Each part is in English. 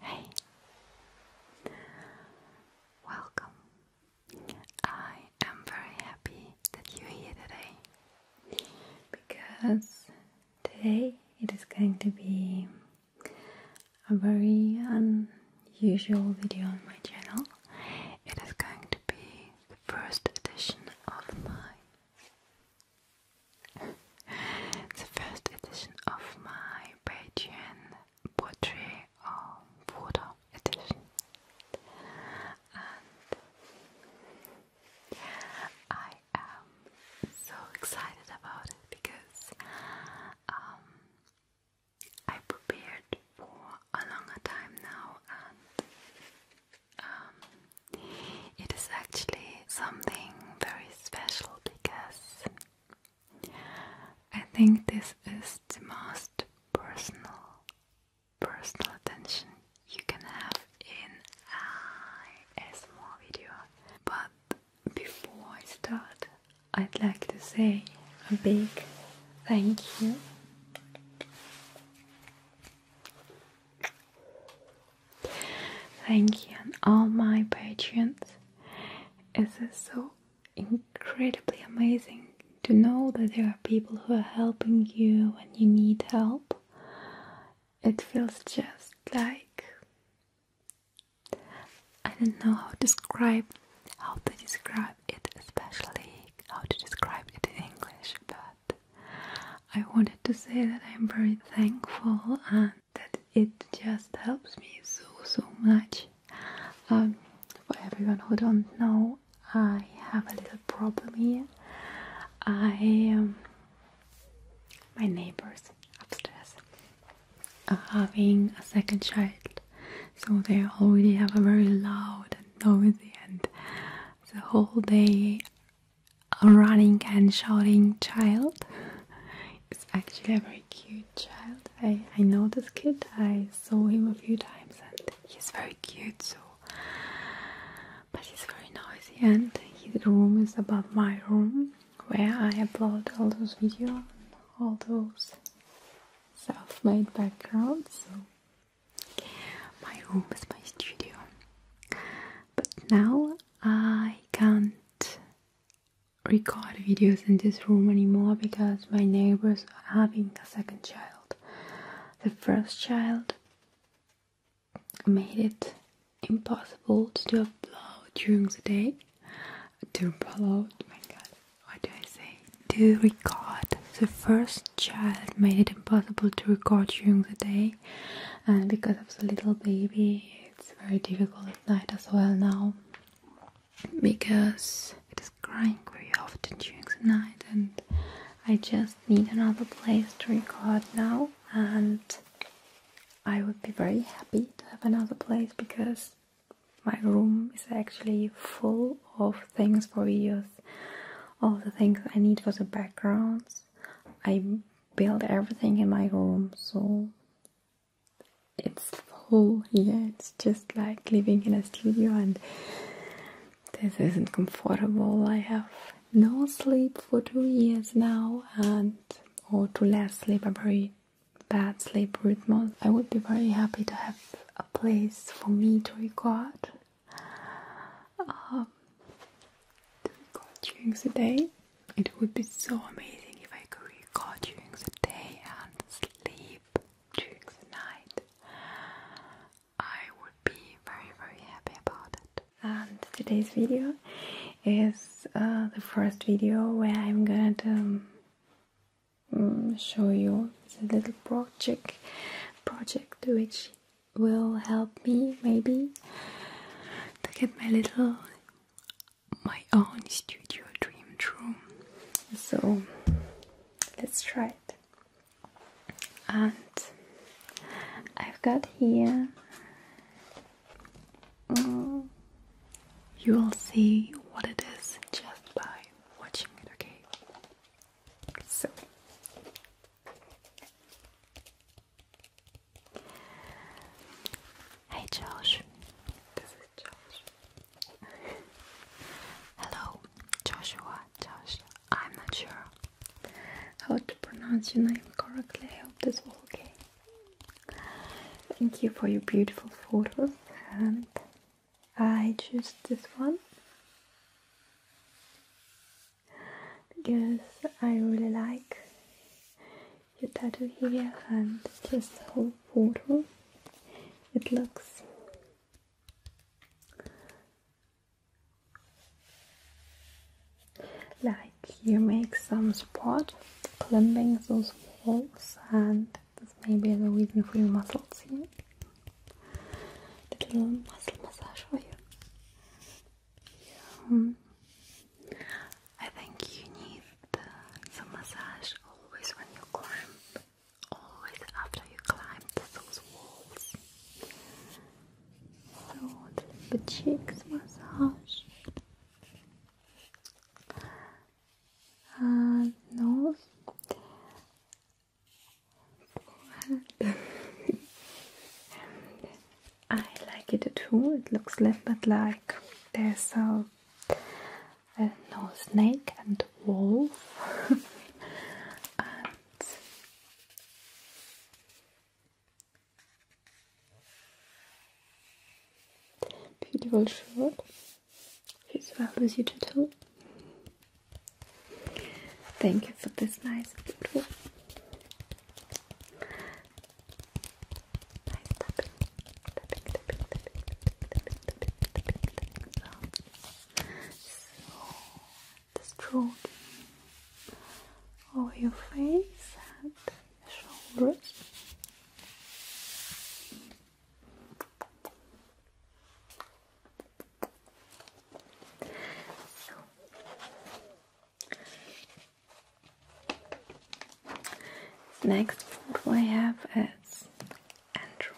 Hey, welcome. I am very happy that you're here today because Today it is going to be a very unusual video on my channel. It is going to be the first edition of my the first edition of my Patreon portrait or um, photo edition. And I i am so excited about it because um, I prepared for a longer time now, and um, it is actually something very special because I think this is the most personal, personal attention you can have in a small video. But before I start, I'd like to say a big thank you. Thank you and all my patrons. It is so incredibly amazing to know that there are people who are helping you when you need help it feels just like I don't know how to describe how to describe it, especially how to describe it in English, but I wanted to say that I'm very thankful and that it just helps me so so much. Um, for everyone who don't know, I have a little problem here. I am. Um, my neighbors upstairs are having a second child, so they already have a very loud and noisy and the whole day a running and shouting child. It's actually a very cute child. I, I know this kid, I saw him a few times and he's very cute so but he's very noisy and his room is above my room where I upload all those videos all those self-made backgrounds so my room is my studio but now I can't record videos in this room anymore because my neighbors are having a second child the first child made it impossible to do a blow during the day. To blow, oh my god, what do I say? To record. The first child made it impossible to record during the day, and because of the little baby, it's very difficult at night as well now because it is crying very often during the night, and I just need another place to record now and I would be very happy to have another place because my room is actually full of things for videos, All the things I need for the backgrounds. I build everything in my room, so it's full Yeah, It's just like living in a studio, and this isn't comfortable. I have no sleep for two years now and or to less sleep a very bad sleep rhythm. I would be very happy to have a place for me to record to um, record during the day. It would be so amazing if I could record during the day and sleep during the night. I would be very very happy about it. And today's video is uh, the first video where I'm going to um, mm, show you the little project project which will help me maybe to get my little my own studio dream true. So let's try it and I've got here you will see what it is just by watching it, okay? So Hey Josh. Hello, Joshua, Josh. I'm not sure how to pronounce your name correctly. I hope this all okay. Thank you for your beautiful photos, and I choose this one because I really like your tattoo here and just the whole photo. It looks like you make some support climbing those walls, and this may be the reason for your muscles here. Little muscle massage for you. Um, I think you need the, massage always when you climb, always after you climb those walls. So the cheeks massage. Uh, nose. and I like it too. It looks a little bit like there's a, no snake and wolf. Beautiful show. It's well as you tattoo. Thank you for this nice photo stroke over your face and shoulders. next, what do I have It's Andrew.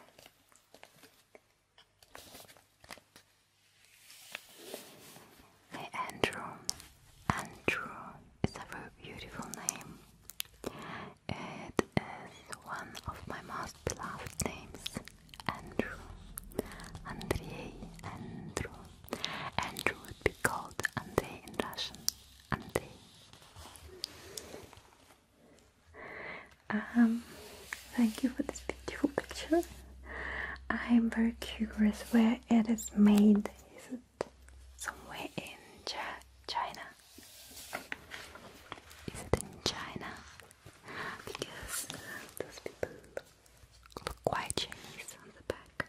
Andrew. Andrew is a very beautiful name. It is one of my most beloved names. Andrew. Andrei. Andrew. Andrew would be called Andrei in Russian. Andrei. Um, thank you for this beautiful picture. I'm very curious where it is made. Is it somewhere in China? Is it in China? Because those people look quite Chinese on the back.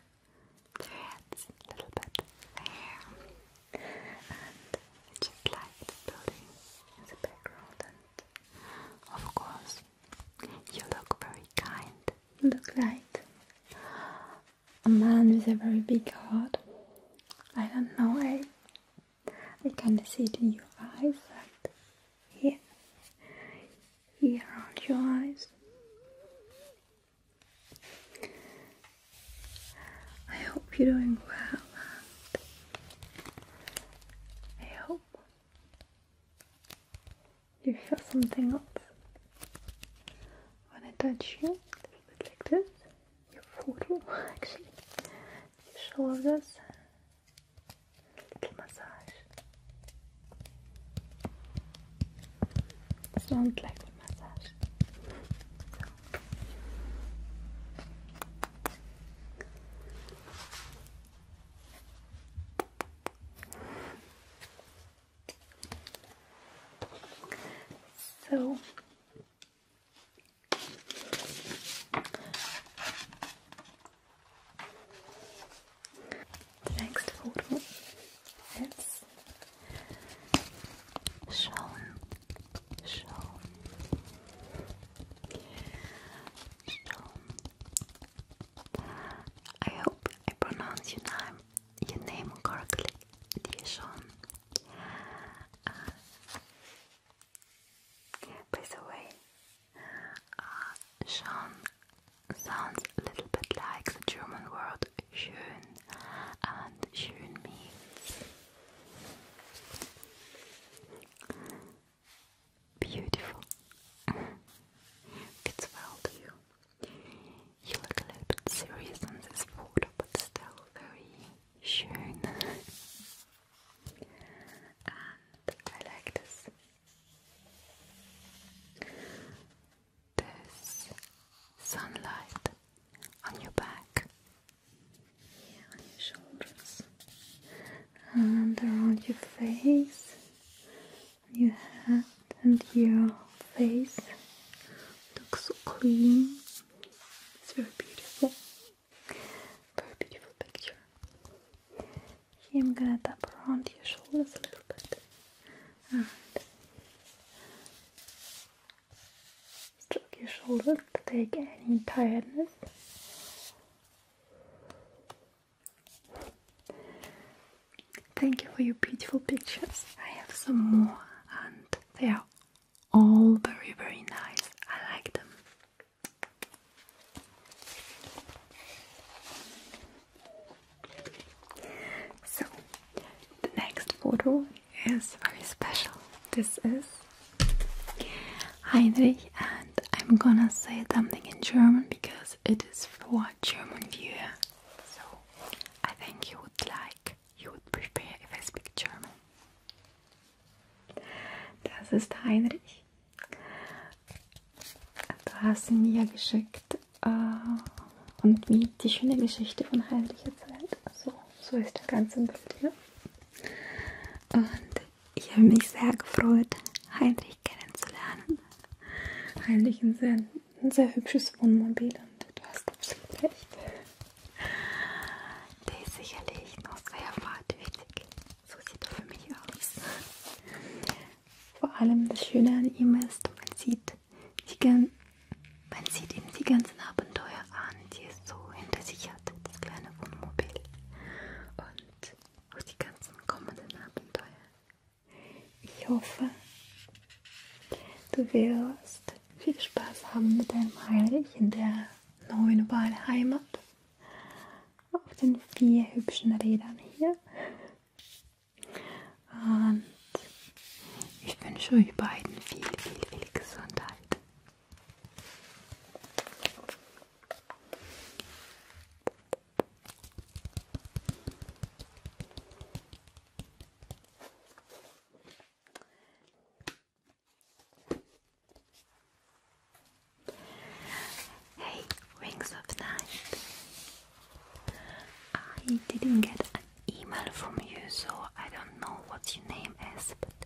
Their heads a little bit, hair. And I just building as a background of course, you look very kind. look like a man with a very big heart. I don't know, I, I kind of see it in your eyes, right here, here around your eyes. I hope you're doing well. I hope up. You feel something up. When I touch you, a little bit like this, your photo actually, your shoulders, little massage. Sound like a massage. So next photo is shown, shown, so, I hope I pronounce your name, your name correctly, dear Sean. Uh, by the way, uh, Sean sounds a little bit like the German word schön, and schön means Beautiful. it's well you. You look a little bit serious on this photo, but still very schön. and I like this. This sunlight on your back yeah, on your shoulders and around your face, your head and your face look so clean. It's very beautiful. Very beautiful picture. Here I'm gonna tap around your shoulders a little bit stroke your shoulders to take any tiredness. Thank you for your beautiful pictures. I have some more and they are all very very nice. I like them. So the next photo is very special. This is Heinrich, and I'm gonna say something in German because it is for German viewer. So I think you would like, you would prefer if I speak German. Das ist Heinrich. Du hast ihn mir geschickt äh, und mir die schöne Geschichte von Heinrich erzählt. So, so ist das Ganze im Bild hier. Und ich habe mich sehr gefreut, Heinrich kennenzulernen. Heinrich ein sehr, ein sehr hübsches Wohnmobil und du hast absolut recht. Der ist sicherlich noch sehr fahrtwillig. So sieht er für mich aus. Vor allem das Schöne an ihm ist, man sieht, die, man sieht ihm die ganzen Abenteuer Abenteuer an, die es so hinter sich hatte, das kleine Wohnmobil. Und auch die ganzen kommenden Abenteuer. Ich hoffe, du wirst viel Spaß haben mit deinem Heilig in der neuen Wahlheimat. Auf den vier hübschen Rädern hier. Und ich wünsche euch beiden viel, viel, viel Gesundheit. Hey, Wings of Night. I didn't get an email from you, so I don't know what your name is, but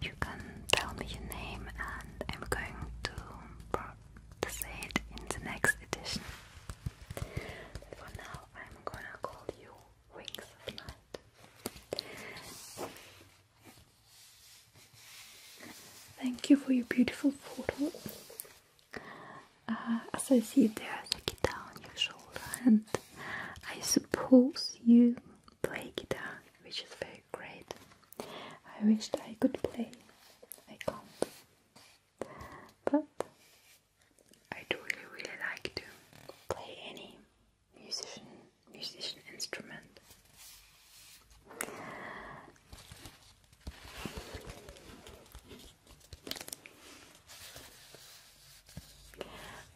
you can tell me your name, and I'm going to, say it in the next edition. But for now, I'm gonna call you Wings of Night. Thank you for your beautiful photo. Uh, as I see, it, there's a guitar on your shoulder, and I suppose you play guitar, which is very great. I wished I could play, I can't, but I truly really like to play any musician musician instrument.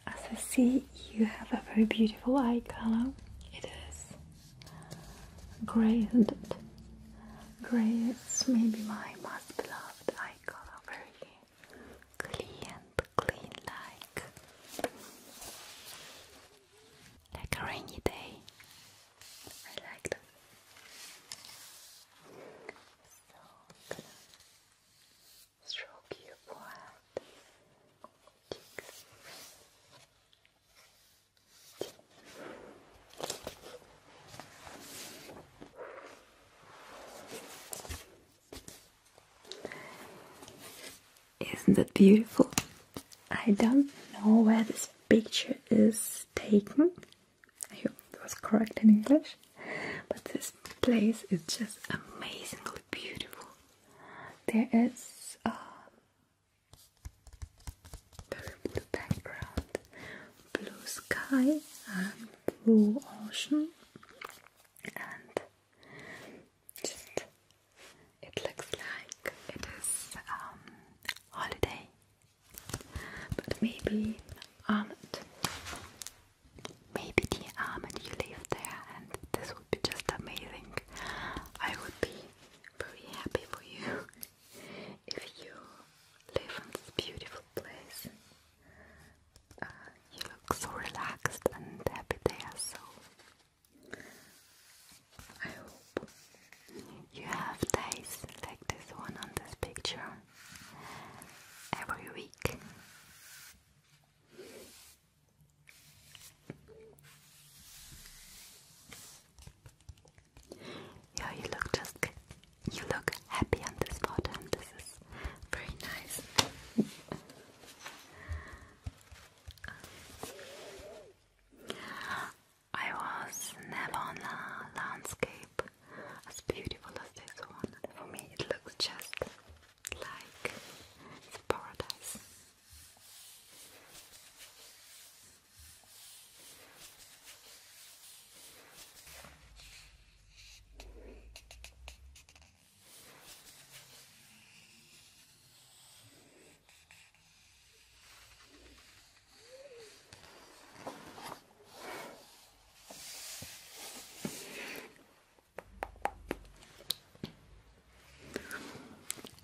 As I see, you have a very beautiful eye color. It and grey, isn't Grey is maybe my most beloved eye color. Very clean clean like. Like a rainy day. I like that. Isn't that beautiful? I don't know where this picture is taken. I hope it was correct in English. But this place is just amazingly beautiful. There is a very blue background, blue sky, and blue ocean, and it looks like it is um, holiday. But maybe. not maybe the almond you live there, and this would be just amazing. I would be very happy for you if you live in this beautiful place. Uh, you look so relaxed and happy there, so I hope you have days like this one on this picture every week. Yeah, you look just you look happy on this spot, and this is very nice. I was never on a landscape as beautiful as this one. For me, it looks just like paradise.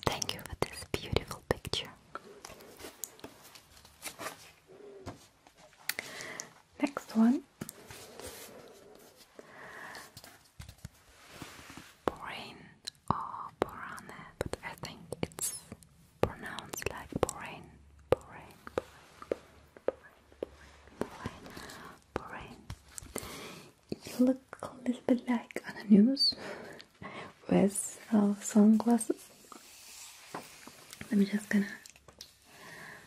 Thank you for this beautiful picture. Next one. Borain or oh, Borane, but I think it's pronounced like Borain, Borain, Borain. Brain, brain, brain. You look a little bit like Anna News with uh, sunglasses. Let me just gonna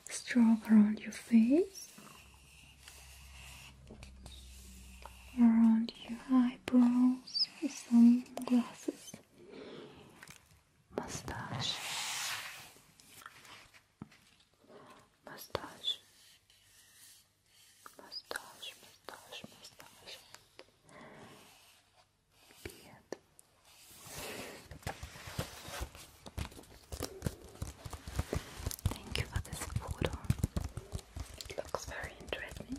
stroke around your face, around your eyebrows, sunglasses, mustache, mustache, mustache, mustache, mustache, beard. Thank you for this photo. It looks very interesting.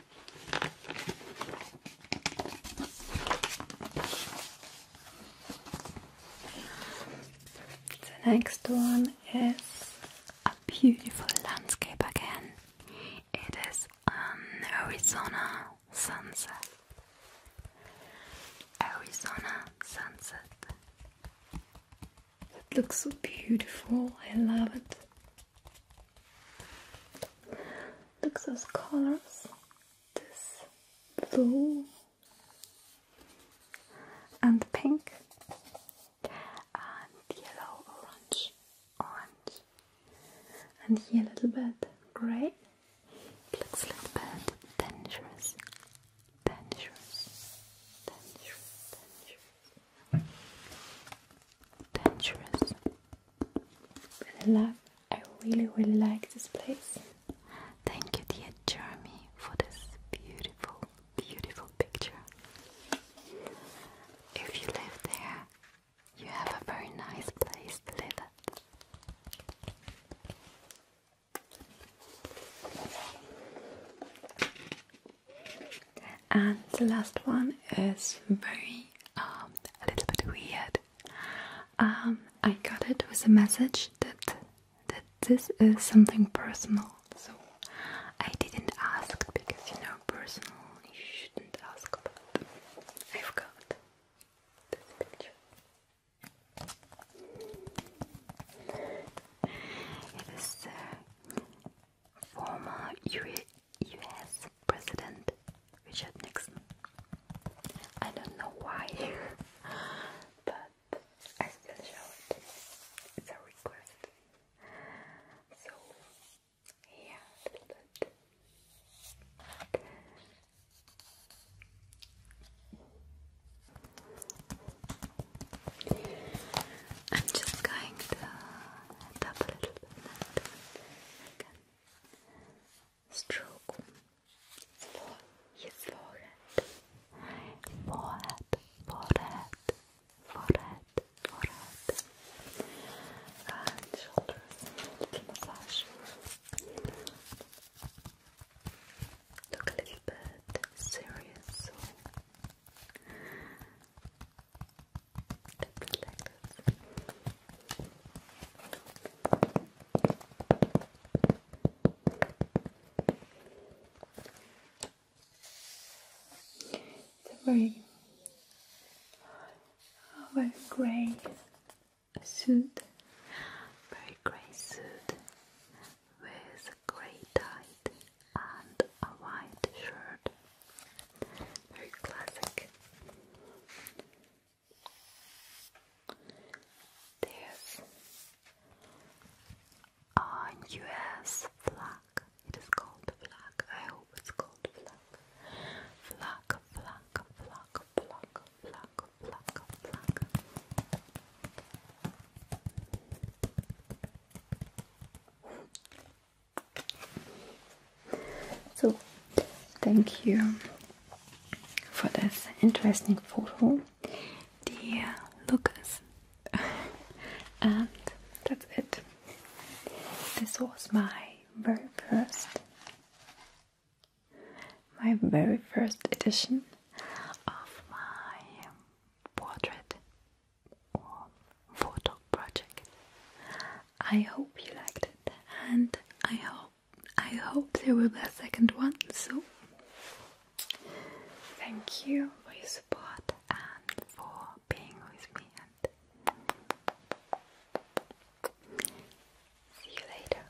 The next one is a beautiful landscape again. It is an Arizona sunset. Arizona sunset. It looks so beautiful. I love it. Look at those colors. This blue and pink and yellow, orange, orange, and here a little bit grey. It looks a little bit dangerous, dangerous, dangerous, dangerous, Really love. I really really like this place. Thank you, dear Jeremy, for this beautiful, beautiful picture. If you live there, you have a very nice place to live at. And the last one is very um, a little bit weird. Um, I got it with a message that that this is something personal, so I didn't ask because you know personal you shouldn't ask about. I've got this picture. It is uh, former US President Richard Nixon. I don't know why, but I still show it. It's a request. So, yeah, a little bit. I'm just going to tap a little bit again. Stroke his forehead. Forehead, forehead, forehead, forehead. And Little massage. Look a little bit serious. It's a very, very grey suit, very grey suit with grey tie and a white shirt. Very classic. There's a US flag. It is called flag. I hope it's called flag. Flag, flag, flag, flag, flag, flag, flag. So, thank you for this interesting photo, dear Lucas. and that's it. This was my very first, my very first edition of my portrait photo project. I hope you liked it and I hope I hope there will be a second one So Thank you for your support and for being with me and see you later.